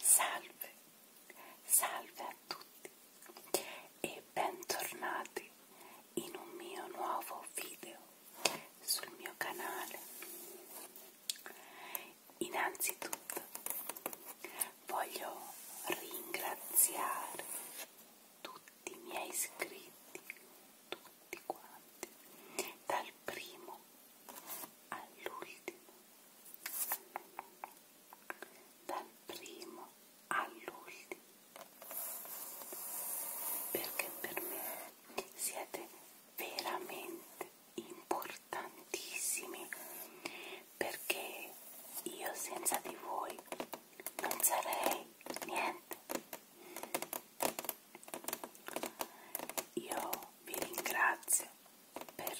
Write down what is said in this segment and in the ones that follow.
Salve, salve a tutti e bentornati in un mio nuovo video sul mio canale. Innanzitutto voglio ringraziare tutti i miei iscritti, tutti quanti, dal primo all'ultimo, dal primo all'ultimo, perché per me siete veramente importantissimi perché io senza di voi non sarei niente io vi ringrazio per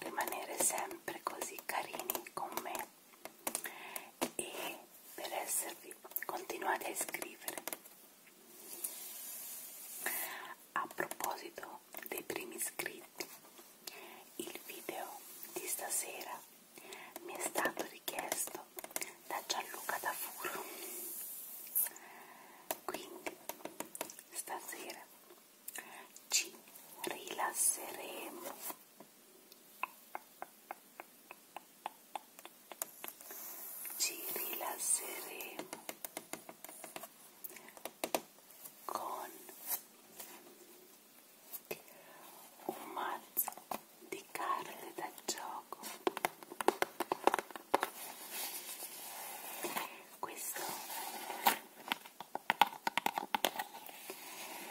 rimanere sempre così carini con me e per esservi continuate a iscrivere a proposito dei primi iscritti, il video di stasera mi è stato richiesto da Gianluca Tafuro. Quindi stasera ci rilasseremo ci rilasseremo con un mazzo di carte da gioco questo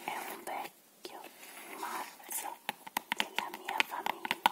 è un vecchio mazzo della mia famiglia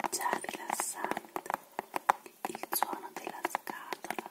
È già rilassante il suono della scatola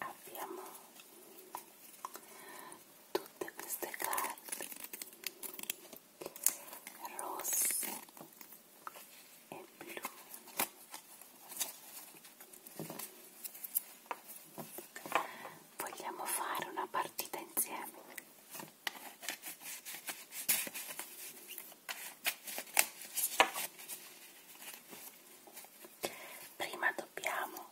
Abbiamo tutte queste carte rosse e blu vogliamo fare una partita insieme prima dobbiamo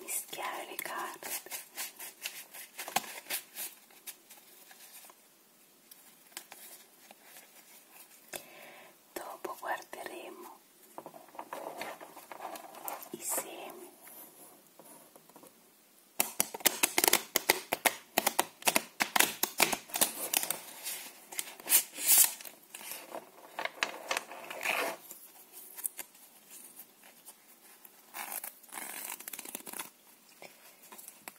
mischiare le carte Dopo guarderemo i semi.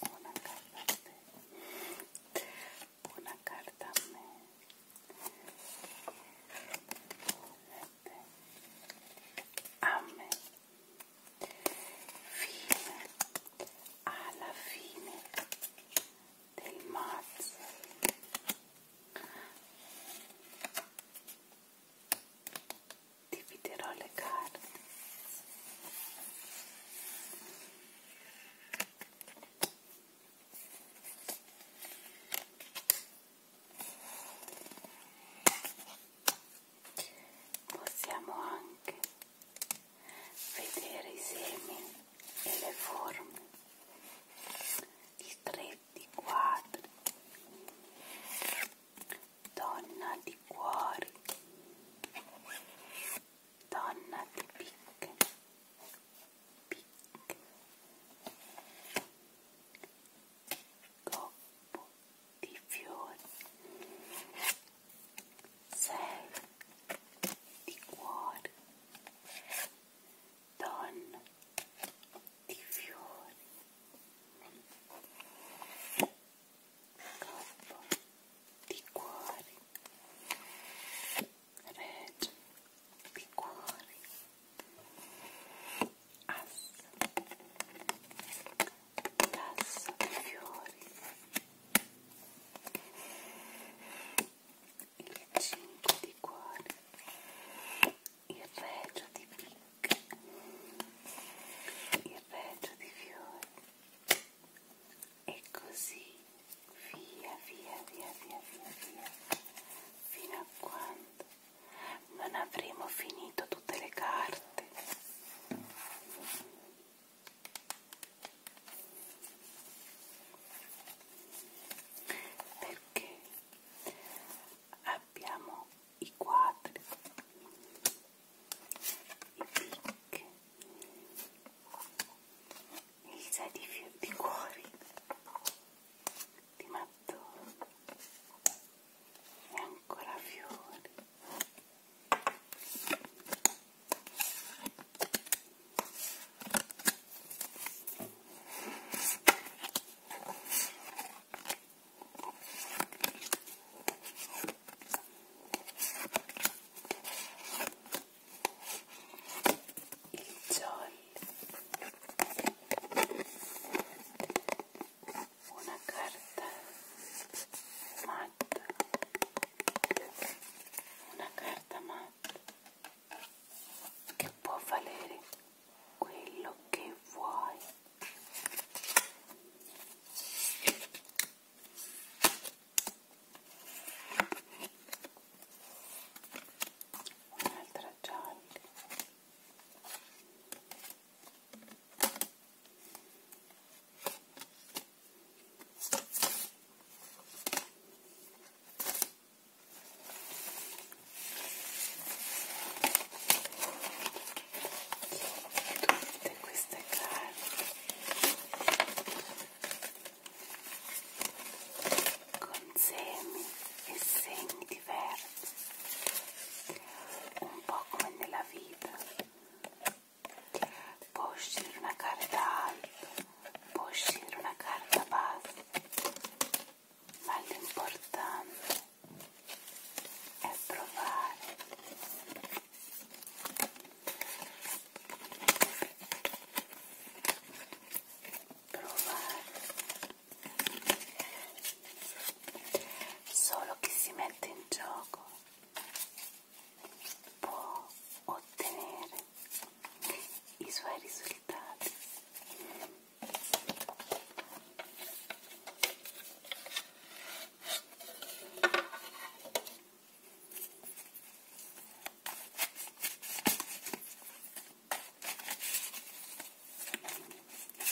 una carta me, una carta me este, ame a la fine del mazzo dividerò le carte possiamo anche vedere i semi e le forme i stretti, i quadri donna di cuori, donna di picche, picche, coppo di fiori, sei di cuori, donna di fiori K di cuori Reg di cuori As Cassa di fiori il 5 di cuori il regio di picche il raggio di fiori e così via via via via via via fino a quando non avremo finito tutte le carte perché abbiamo i quadri, i picche, il set di, di cuori, di mattoni e ancora fiori il jolly una carta matta una carta matta che può valere quello che vuoi un'altra gialla e tutte queste carte con semi e segni diversi un po' come nella vita può uscire una carta alta può uscire una carta bassa ma l'importante è provare provare solo chi si mette in gioco può ottenere i suoi risultati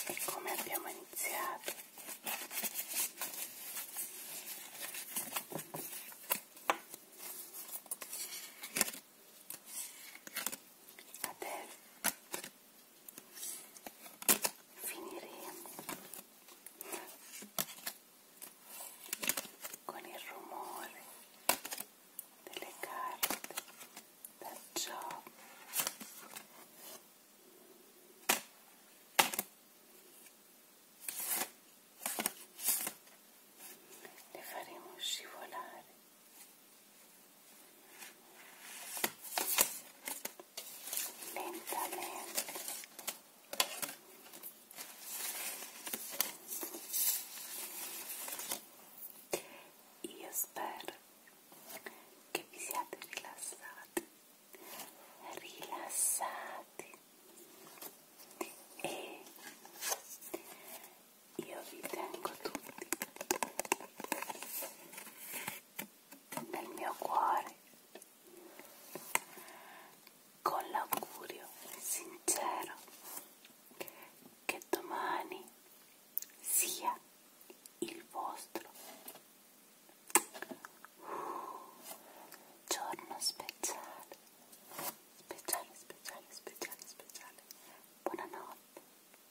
e come abbiamo iniziato? Adesso finire con il rumore delle carte da ciò le faremo scivolare lentamente io spero che vi siate rilassati rilassati e io vi tengo tutti nel mio cuore con l'augurio sincero che domani sia il vostro uh, giorno speciale speciale speciale speciale speciale buonanotte